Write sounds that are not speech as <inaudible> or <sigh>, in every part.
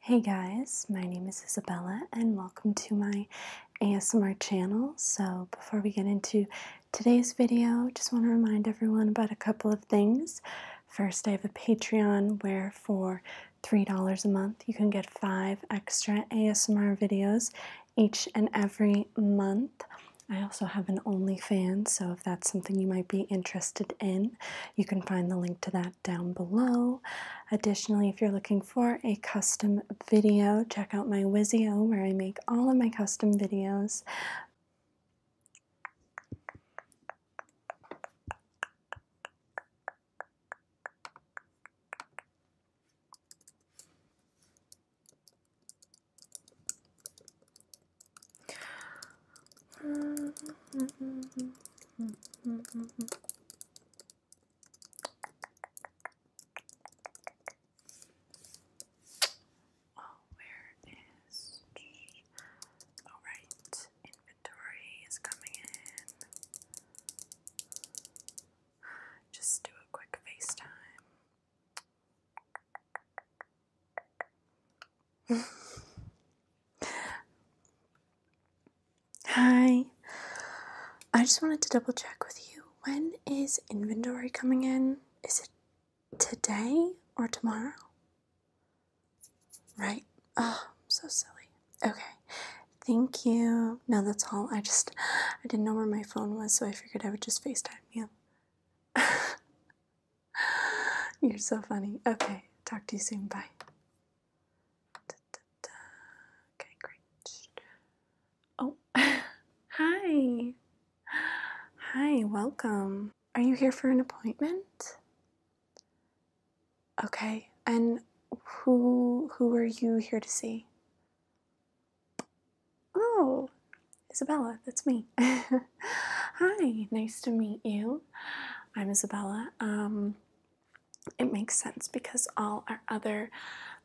Hey guys, my name is Isabella and welcome to my ASMR channel. So before we get into today's video, just want to remind everyone about a couple of things. First, I have a Patreon where for $3 a month you can get five extra ASMR videos each and every month. I also have an OnlyFans, so if that's something you might be interested in, you can find the link to that down below. Additionally, if you're looking for a custom video, check out my Wizio where I make all of my custom videos. Oh, where is? All oh, inventory is coming in. Just do a quick FaceTime. <laughs> Hi. I just wanted to double check with you. When is inventory coming in? Is it today or tomorrow? Right. Oh, so silly. Okay. Thank you. No, that's all. I just I didn't know where my phone was, so I figured I would just FaceTime you. <laughs> You're so funny. Okay. Talk to you soon. Bye. Okay, great. Oh, <laughs> hi. Hi, welcome. Are you here for an appointment? Okay, and who who are you here to see? Oh, Isabella, that's me. <laughs> Hi, nice to meet you. I'm Isabella. Um, it makes sense because all our other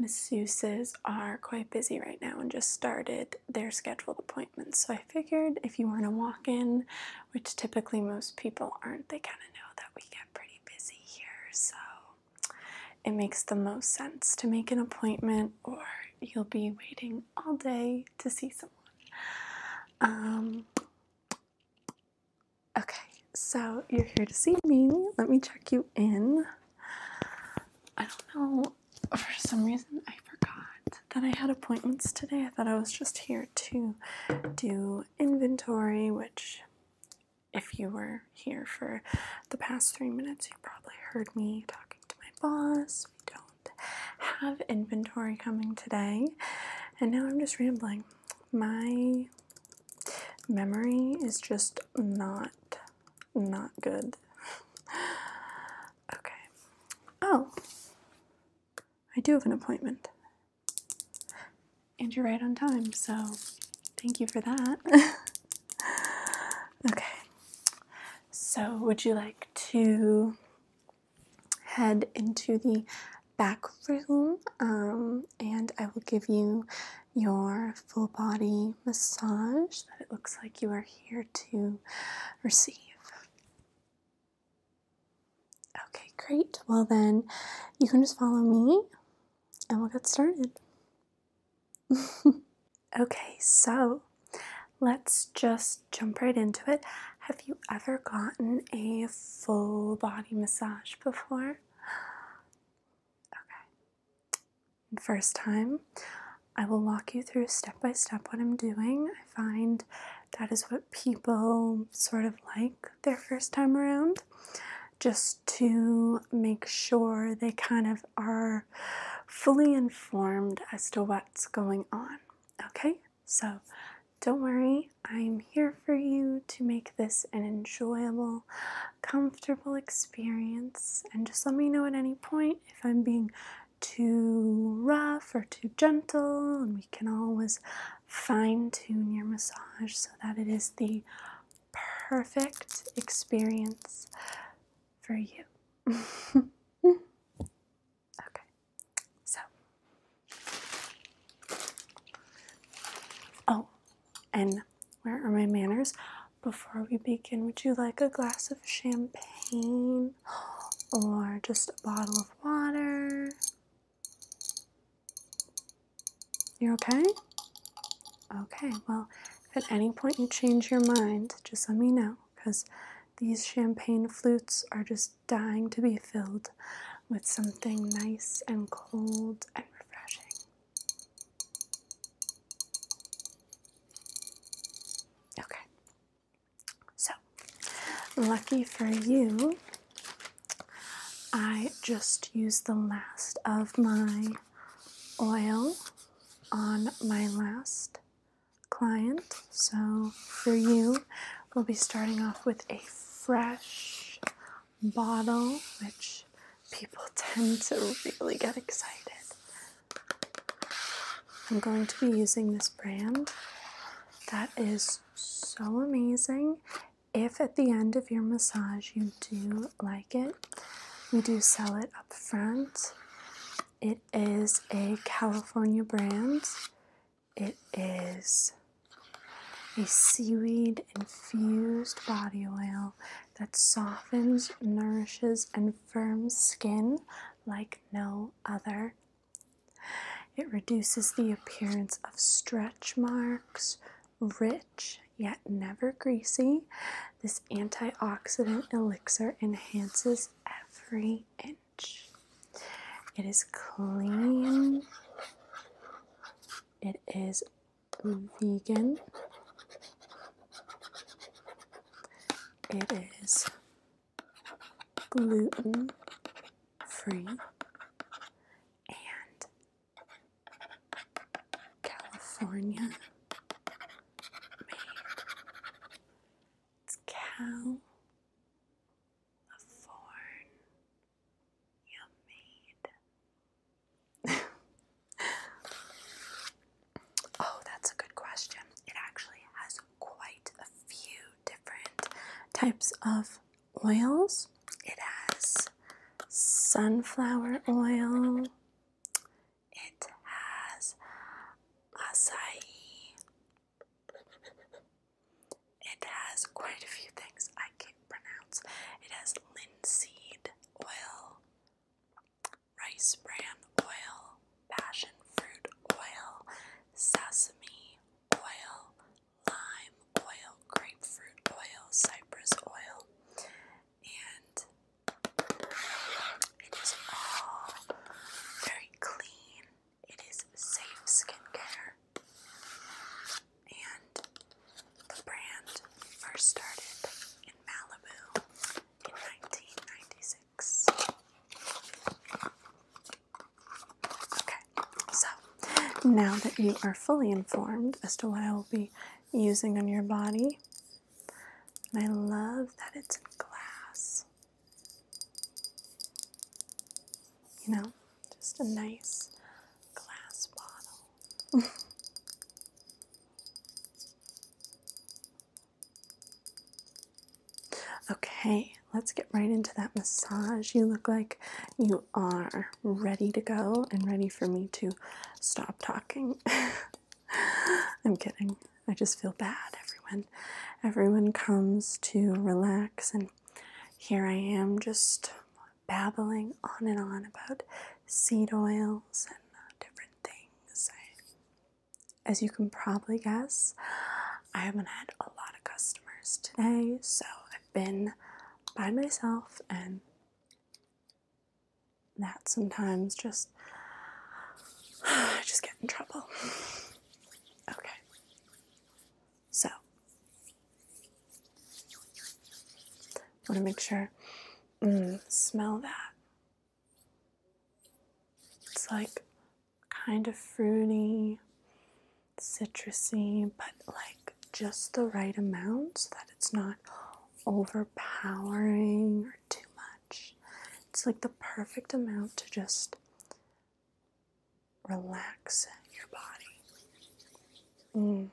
masseuses are quite busy right now and just started their scheduled appointments. So I figured if you weren't a walk in, which typically most people aren't, they kind of know that we get pretty busy here. So it makes the most sense to make an appointment, or you'll be waiting all day to see someone. Um, Okay, so you're here to see me. Let me check you in. I don't know, for some reason I forgot that I had appointments today. I thought I was just here to do inventory, which, if you were here for the past three minutes, you probably heard me talking to my boss. We don't have inventory coming today, and now I'm just rambling my memory is just not not good. <laughs> okay. Oh. I do have an appointment. And you're right on time, so thank you for that. <laughs> okay. So, would you like to head into the back room um, and I will give you your full body massage that it looks like you are here to receive. Okay, great. Well, then you can just follow me and we'll get started. <laughs> okay, so let's just jump right into it. Have you ever gotten a full body massage before. <sighs> Okay. First time, I will walk you through step by step what I'm doing. I find that is what people sort of like their first time around, just to make sure they kind of are fully informed as to what's going on. Okay, so don't worry, I'm here for you to make this an enjoyable, comfortable experience. And just let me know at any point if I'm being too rough or too gentle, and we can always fine tune your massage so that it is the perfect experience for you. <laughs> okay, so Oh, and where are my manners? Before we begin, would you like a glass of champagne or just a bottle of water? You're okay? Okay, well, if at any point you change your mind, just let me know because these champagne flutes are just dying to be filled with something nice and cold and refreshing. Okay, so lucky for you, I just used the last of my oil on my last client. So for you, we'll be starting off with a fresh bottle, which people tend to really get excited. I'm going to be using this brand that is so amazing. If at the end of your massage you do like it, we do sell it up front. It is a California brand. It is a seaweed infused body oil that softens, nourishes, and firms skin like no other. It reduces the appearance of stretch marks, rich yet never greasy. This antioxidant elixir enhances every inch. It is clean it is vegan. It is gluten free and California made. It's California <laughs> oh, that's a good question. It actually has quite a few different types of oils. It has sunflower oil. It has acai it has quite a few things I can't pronounce. It has linseed oil, rice bran oil, passion fruit oil, sesame oil, lime oil, grapefruit oil, cypress oil, and it is all very clean. It is safe skincare. And the brand first started in Malibu in 1996. Okay, so now that you are fully informed as to what I will be using on your body, and I love that it's in glass you know, just a nice glass bottle. <laughs> okay, let's get right into that massage. You look like you are ready to go and ready for me to stop talking. <laughs> I'm kidding. I just feel bad. Everyone everyone comes to relax and here I am just babbling on and on about seed oils and uh, different things. as you can probably guess, I haven't had a lot of customers today, so I've been by myself, and that sometimes just <sighs> just get in trouble. <sighs> Okay. So, want to make sure. Mm, smell that. It's like kind of fruity, citrusy, but like just the right amount so that it's not overpowering or too much. It's like the perfect amount to just relax your body. Mm.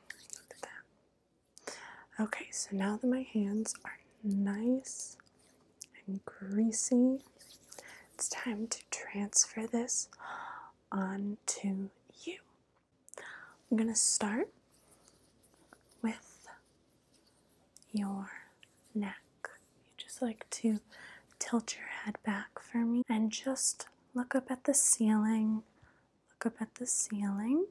Okay, so now that my hands are nice and greasy, it's time to transfer this onto you. I'm going to start with your neck. You just like to tilt your head back for me and just Look up at the ceiling. Look up at the ceiling.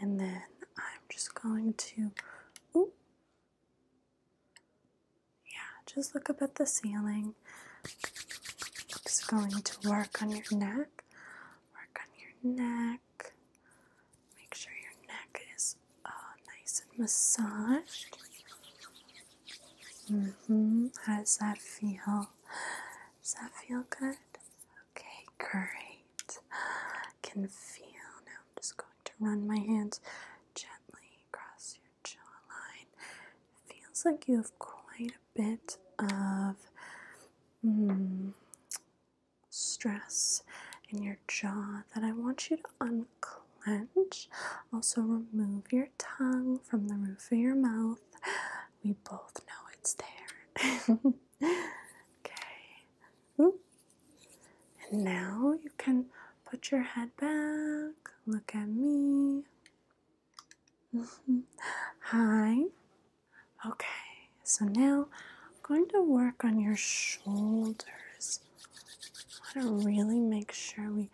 And then I'm just going to, yeah, just look up at the ceiling. i just going to work on your neck. Work on your neck. Make sure your neck is uh, nice and massaged hmm How does that feel? Does that feel good? Okay, great. I can feel now. I'm just going to run my hands gently across your jawline. Feels like you have quite a bit of mm, stress in your jaw that I want you to unclench. Also, remove your tongue from the roof of your mouth we both know it's there. <laughs> okay. And now you can put your head back. Look at me. <laughs> Hi. Okay. So now I'm going to work on your shoulders. I want to really make sure we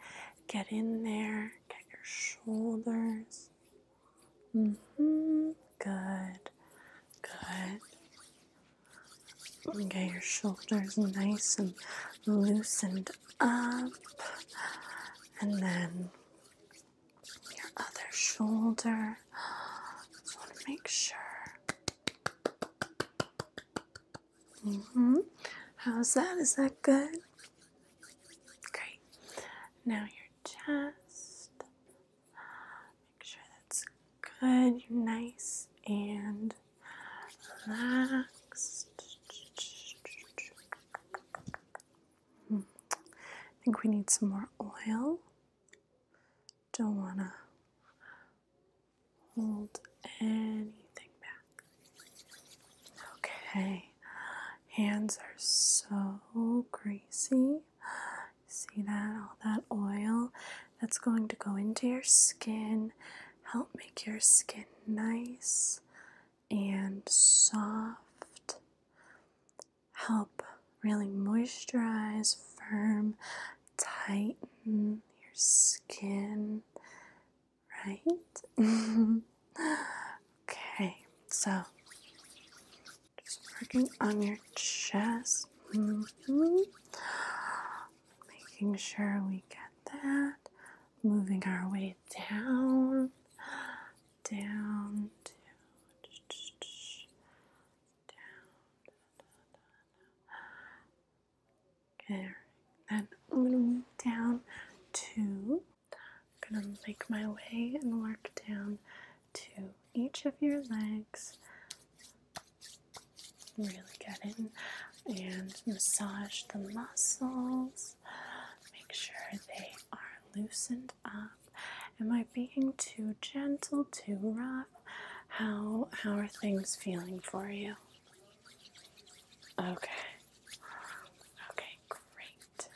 get in there, your shoulders. Mm -hmm. Good. Good. Get your shoulders nice and loosened up, and then your other shoulder. Just want to make sure. Mm -hmm. How's that? Is that good? Great. Now your chest. Make sure that's good. You're nice and relaxed. Hmm. I think we need some more oil. Don't want to hold anything back. Okay, hands are so greasy. See that? All that oil that's going to go into your skin, help make your skin nice and soft, help really moisturize, firm, tighten your skin, right? <laughs> okay, so just working on your chest, mm -hmm. making sure we get that, moving our way down, down, down, down. Okay, then I'm going to move down to I'm gonna make my way and work down to each of your legs. Really get in and massage the muscles. Make sure they are loosened up. Am I being too gentle, too rough? How how are things feeling for you? Okay. Okay, great.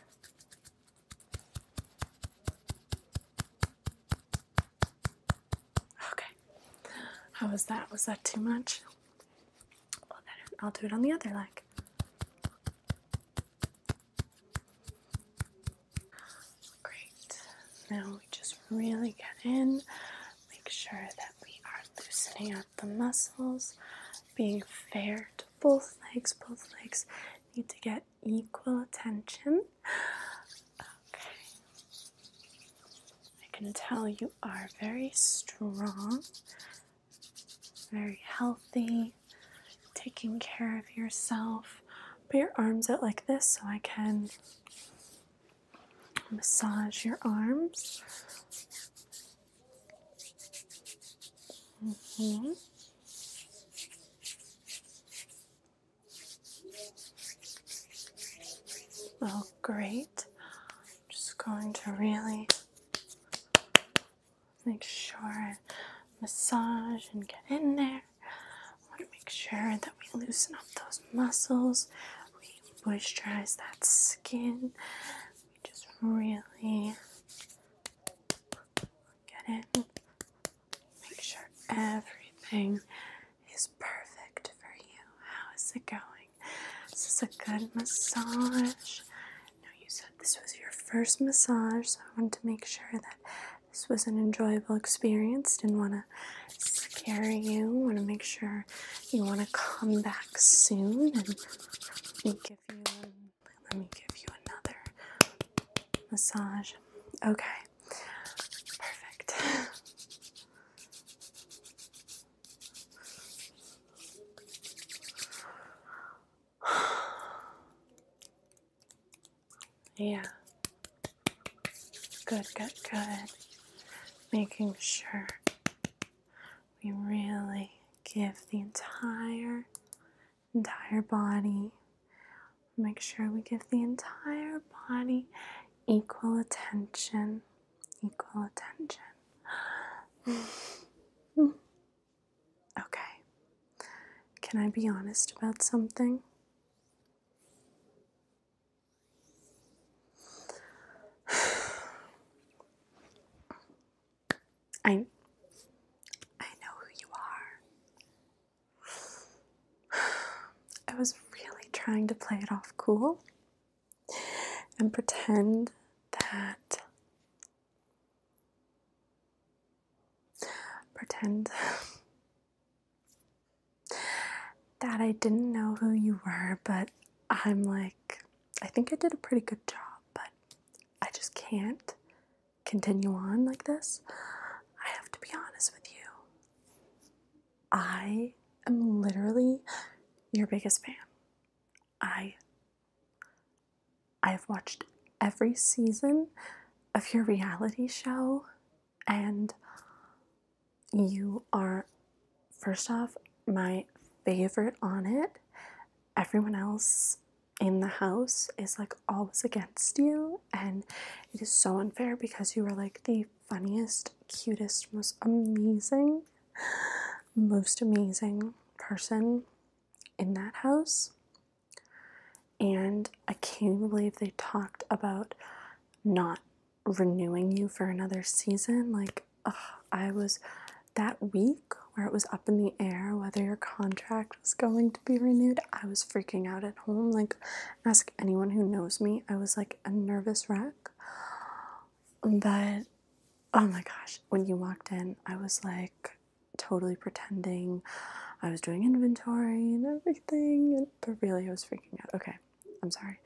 Okay. How was that? Was that too much? I'll do it on the other leg. Great. Now we just really get in. Make sure that we are loosening up the muscles, being fair both legs, both legs need to get equal attention. I can tell you are very strong, very healthy, taking care of yourself. Put your arms out like this so I can massage your arms. Mm-hmm. Oh, great. just going to really make sure massage and get in there. want to make sure that we loosen up those muscles, we moisturize that skin, we just really Get it? Make sure everything is perfect for you. How is it going? This Is a good massage? No, you said this was your first massage, so I wanted to make sure that this was an enjoyable experience. Didn't want to scare you. Want to make sure you want to come back soon and give you let me give you another massage. Okay, perfect. <sighs> yeah. Good, good, good. Making sure we really give the entire entire body make sure we give the entire body equal attention equal attention okay can i be honest about something I I know who you are. <sighs> I was really trying to play it off cool and pretend that pretend <laughs> that I didn't know who you were, but I'm like I think I did a pretty good job, but I just can't continue on like this. I have to be honest with you. I am literally your biggest fan. I I've watched every season of your reality show and you are first off my favorite on it. Everyone else in the house is like always against you and it is so unfair because you are like the funniest, cutest, most amazing, most amazing person in that house. And I can't believe they talked about not renewing you for another season. Like, I was that week week where it was up in the air whether your contract was going to be renewed. I was freaking out at home. Like, ask anyone who knows me, I was like a nervous wreck. But oh my gosh, when you walked in, I was like totally pretending I was doing inventory and everything, but really I was freaking out. Okay, I'm sorry.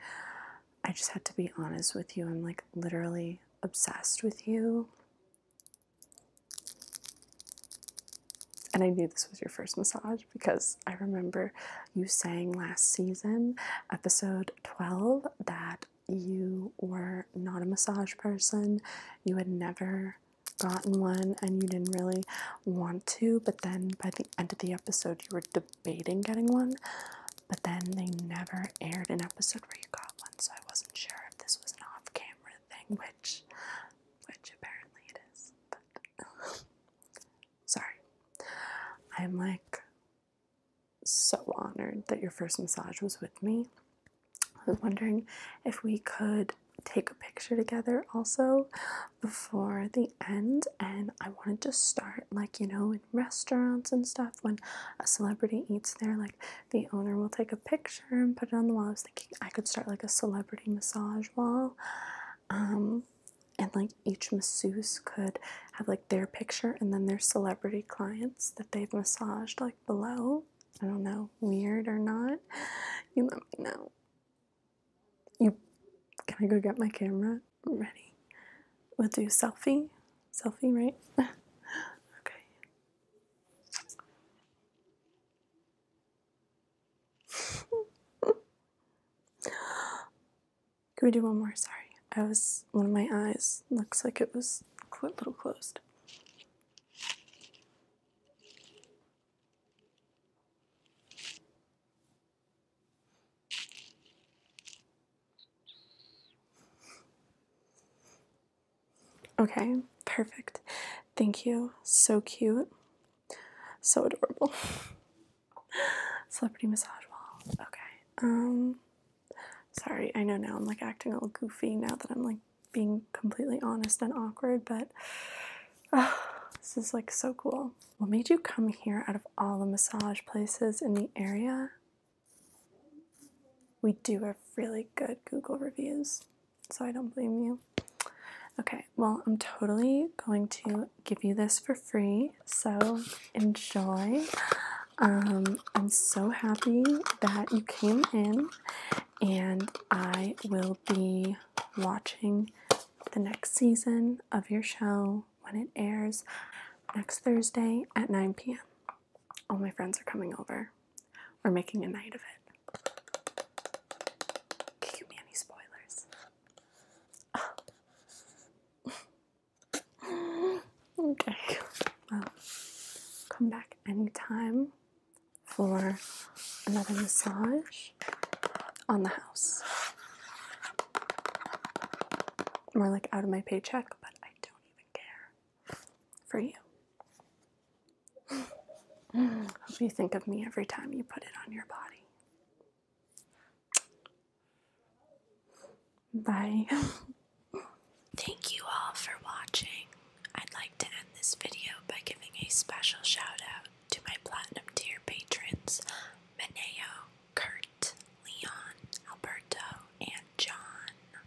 I just had to be honest with you. I'm like literally obsessed with you. And I knew this was your first massage because I remember you saying last season, episode 12, that you were not a massage person. You had never gotten one and you didn't really want to, but then by the end of the episode, you were debating getting one. But then they never aired an episode where you got one, so I wasn't sure if this was an off-camera thing, which, which apparently it is. <laughs> sorry, I'm like so honored that your first massage was with me. I was wondering if we could take a picture together also before the end and I wanted to start like you know in restaurants and stuff when a celebrity eats there like the owner will take a picture and put it on the wall. I was thinking I could start like a celebrity massage wall. Um, and like each masseuse could have like their picture and then their celebrity clients that they've massaged like below. I don't know, weird or not. You let me know. You can I go get my camera ready? We'll do selfie. Selfie, right? <laughs> okay. Can we do one more? Sorry. I was, one of my eyes looks like it was a little closed. Okay, perfect. Thank you. So cute. So adorable. <laughs> Celebrity massage wall. Okay. Um sorry, I know now I'm like acting all goofy now that I'm like being completely honest and awkward, but <sighs> this is like so cool. What made you come here out of all the massage places in the area? We do have really good Google reviews, so I don't blame you. Okay, well, I'm totally going to give you this for free, so enjoy. Um, I'm so happy that you came in, and I will be watching the next season of your show when it airs next Thursday at 9 p.m all my friends are coming over. We're making a night of it. Can you give me any spoilers? <laughs> okay. Well, come back anytime for another massage on the house. More like out of my paycheck, but I don't even care for you. Hope you think of me every time you put it on your body. Bye. Thank you all for watching. I'd like to end this video by giving a special shout out to my platinum tier patrons Maneo, Kurt, Leon, Alberto, and John.